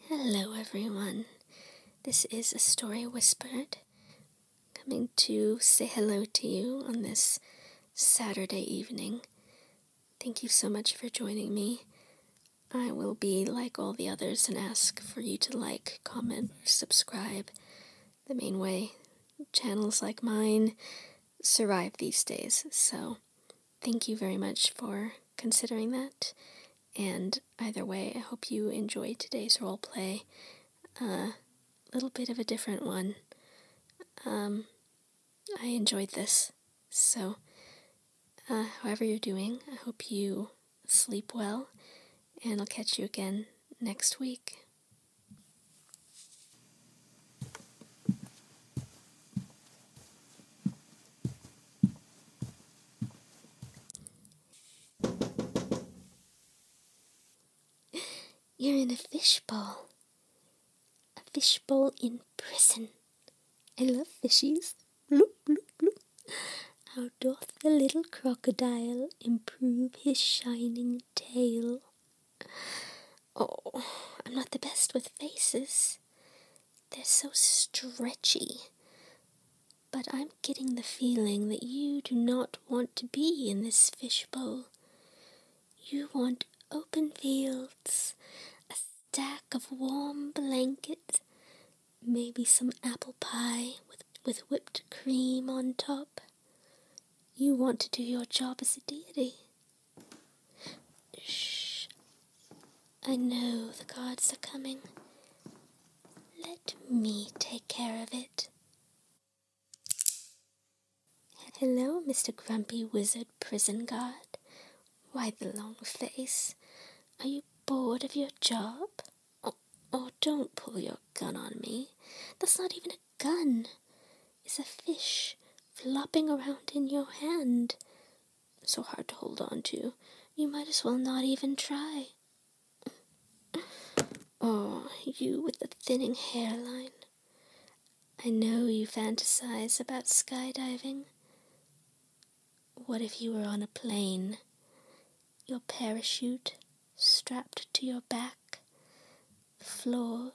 Hello, everyone. This is A Story Whispered, coming to say hello to you on this Saturday evening. Thank you so much for joining me. I will be like all the others and ask for you to like, comment, subscribe. The main way channels like mine survive these days, so thank you very much for considering that and either way, I hope you enjoyed today's role play. A uh, little bit of a different one. Um, I enjoyed this. So, uh, however you're doing, I hope you sleep well, and I'll catch you again next week. You're in a fishbowl. A fishbowl in prison. I love fishies. How doth the little crocodile improve his shining tail? Oh, I'm not the best with faces. They're so stretchy. But I'm getting the feeling that you do not want to be in this fishbowl. You want open fields, a stack of warm blankets, maybe some apple pie with, with whipped cream on top. You want to do your job as a deity. Shh. I know the guards are coming. Let me take care of it. Hello, Mr. Grumpy Wizard Prison Guard. Why the long face? Are you bored of your job? Oh, oh, don't pull your gun on me. That's not even a gun. It's a fish flopping around in your hand so hard to hold on to, you might as well not even try. Oh, you with the thinning hairline. I know you fantasize about skydiving. What if you were on a plane? Your parachute strapped to your back, floor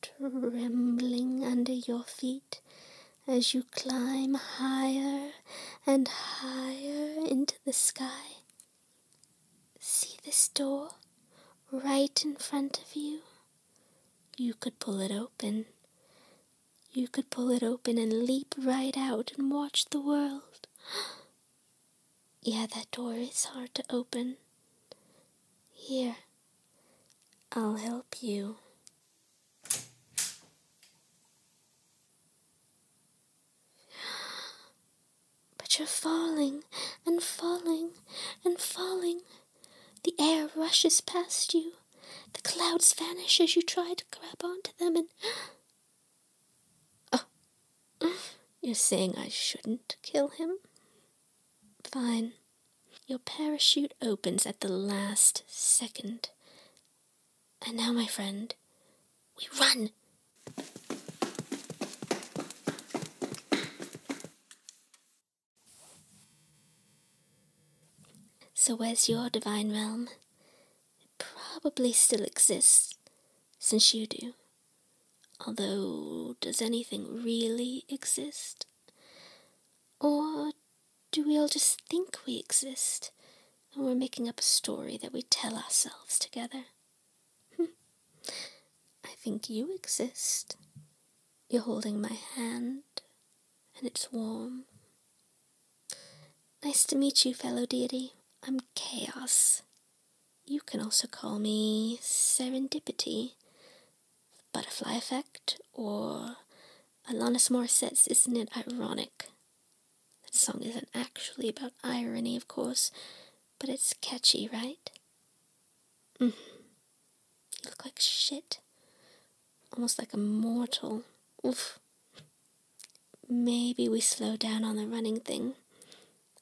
trembling under your feet, as you climb higher and higher into the sky. See this door right in front of you? You could pull it open. You could pull it open and leap right out and watch the world. yeah, that door is hard to open. Here, I'll help you. But you're falling and falling and falling. The air rushes past you. The clouds vanish as you try to grab onto them and. Oh, you're saying I shouldn't kill him? Fine. Your parachute opens at the last second. And now, my friend, we run! So, where's your divine realm? It probably still exists, since you do. Although, does anything really exist? Or do we all just think we exist and we're making up a story that we tell ourselves together? Hmm. I think you exist. You're holding my hand and it's warm. Nice to meet you, fellow deity. I'm Chaos. You can also call me Serendipity butterfly effect or Alanis Morissette's Isn't It Ironic? That song isn't actually about irony, of course, but it's catchy, right? Mm. You look like shit. Almost like a mortal. Oof. Maybe we slow down on the running thing.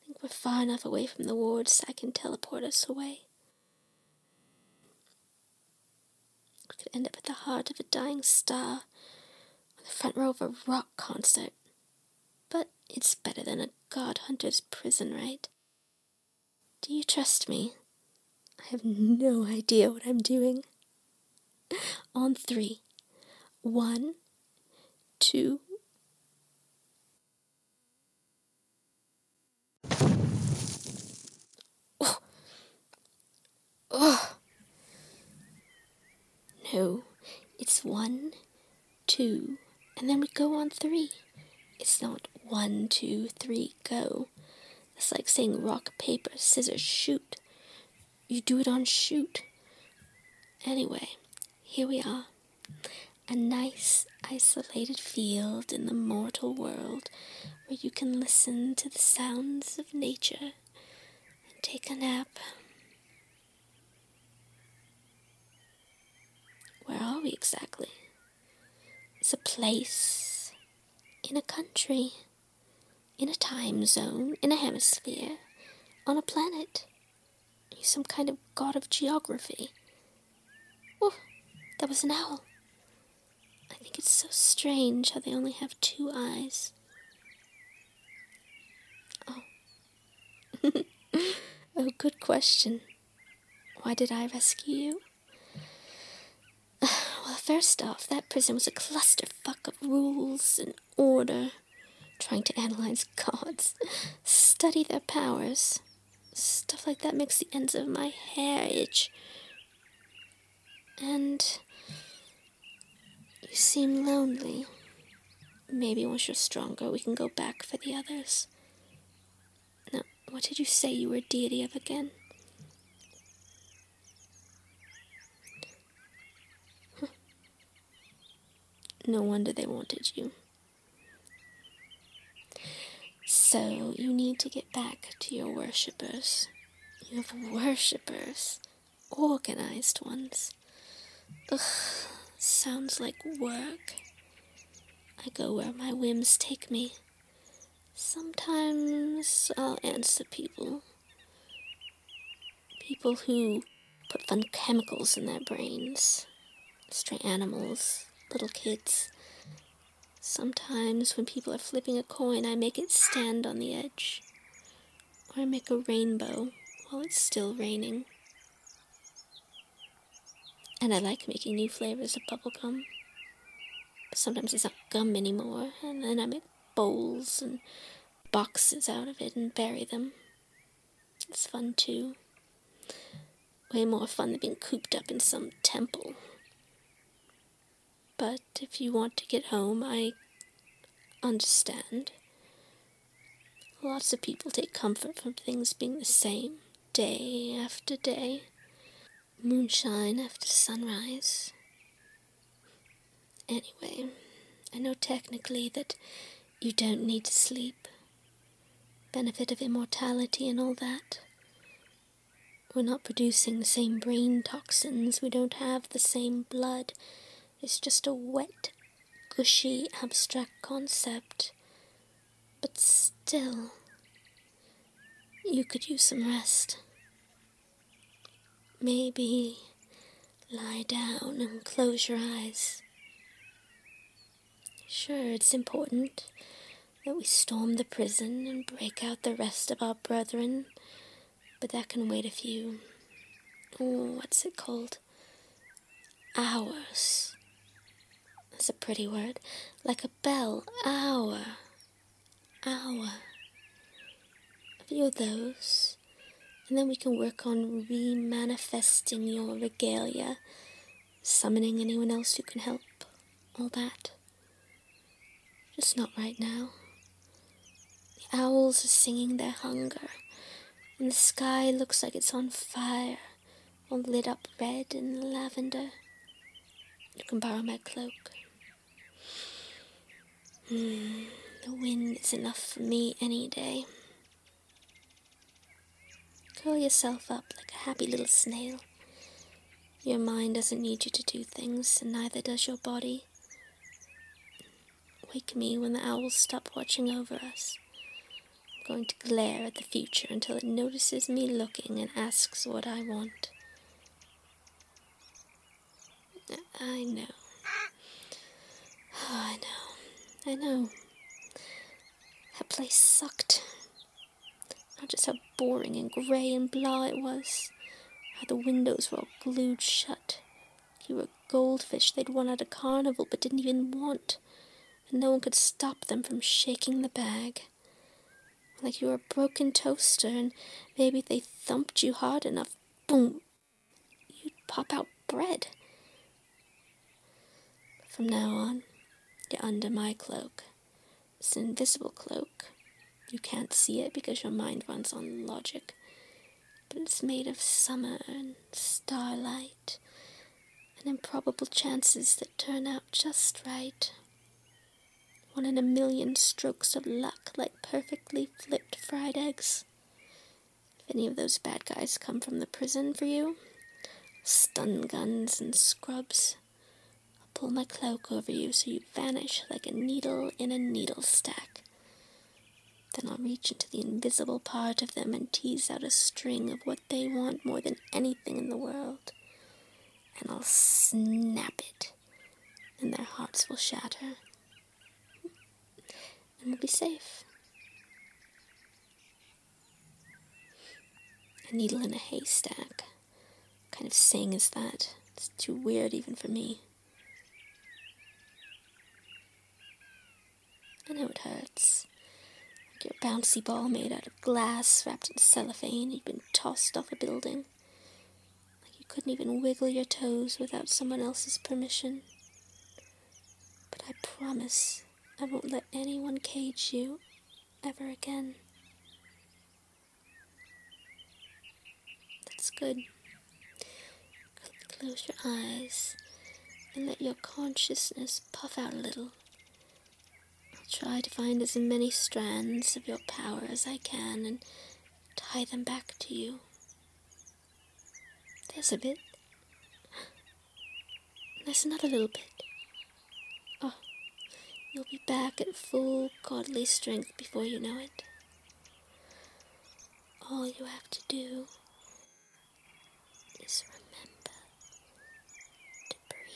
I think we're far enough away from the wards I can teleport us away could end up at the heart of a dying star on the front row of a rock concert. But it's better than a godhunter's prison, right? Do you trust me? I have no idea what I'm doing. On three. One, two, Oh. Oh. No, it's one, two, and then we go on three. It's not one, two, three, go. It's like saying rock, paper, scissors, shoot. You do it on shoot. Anyway, here we are. A nice, isolated field in the mortal world where you can listen to the sounds of nature and take a nap. Where are we exactly? It's a place, in a country, in a time zone, in a hemisphere, on a planet. He's some kind of god of geography. Oh, that was an owl. I think it's so strange how they only have two eyes. Oh. oh, good question. Why did I rescue you? Well, first off, that prison was a clusterfuck of rules and order. Trying to analyze gods, study their powers, stuff like that makes the ends of my hair itch. And you seem lonely. Maybe once you're stronger, we can go back for the others. Now, what did you say you were a deity of again? No wonder they wanted you. So you need to get back to your worshippers. You have worshippers, organized ones. Ugh, sounds like work. I go where my whims take me. Sometimes I'll answer people. People who put fun chemicals in their brains. Stray animals, little kids. Sometimes, when people are flipping a coin, I make it stand on the edge, or I make a rainbow while it's still raining. And I like making new flavors of bubblegum. But sometimes it's not gum anymore, and then I make bowls and boxes out of it and bury them. It's fun too way more fun than being cooped up in some temple. But if you want to get home, I understand. Lots of people take comfort from things being the same day after day, moonshine after sunrise. Anyway, I know technically that you don't need to sleep, benefit of immortality and all that, we're not producing the same brain toxins, we don't have the same blood. It's just a wet, gushy, abstract concept. But still, you could use some rest. Maybe lie down and close your eyes. Sure, it's important that we storm the prison and break out the rest of our brethren, but that can wait a few. Oh, what's it called? Hours. That's a pretty word. Like a bell. Hour. Hour. A few of those. And then we can work on re manifesting your regalia, summoning anyone else who can help all that. Just not right now. The owls are singing their hunger, and the sky looks like it's on fire, all lit up red and lavender. You can borrow my cloak. Hmm, the wind is enough for me any day. Curl yourself up like a happy little snail. Your mind doesn't need you to do things, and neither does your body. Wake me when the owls stop watching over us. I'm going to glare at the future until it notices me looking and asks what I want. I know. I know. I know. That place sucked just how boring and grey and blah it was, how the windows were all glued shut. You were goldfish they'd won at a carnival but didn't even want, and no one could stop them from shaking the bag. Like you were a broken toaster, and maybe they thumped you hard enough, boom, you'd pop out bread from now on, you're under my cloak. It's an invisible cloak. You can't see it because your mind runs on logic. But it's made of summer and starlight and improbable chances that turn out just right. One in a million strokes of luck, like perfectly flipped fried eggs. If any of those bad guys come from the prison for you, stun guns and scrubs. I'll pull my cloak over you so you vanish like a needle in a needle stack. Then I'll reach into the invisible part of them and tease out a string of what they want more than anything in the world. And I'll snap it, and their hearts will shatter. And we'll be safe. A needle in a haystack. kind of saying is that? It's too weird even for me. I know it hurts. Like your bouncy ball made out of glass, wrapped in cellophane, you've been tossed off a building. Like you couldn't even wiggle your toes without someone else's permission. But I promise I won't let anyone cage you ever again. That's good. Close your eyes and let your consciousness puff out a little. I'll try to find as many strands of your power as I can and tie them back to you. There's a bit. There's another little bit. Oh, you'll be back at full godly strength before you know it. All you have to do is remember to breathe.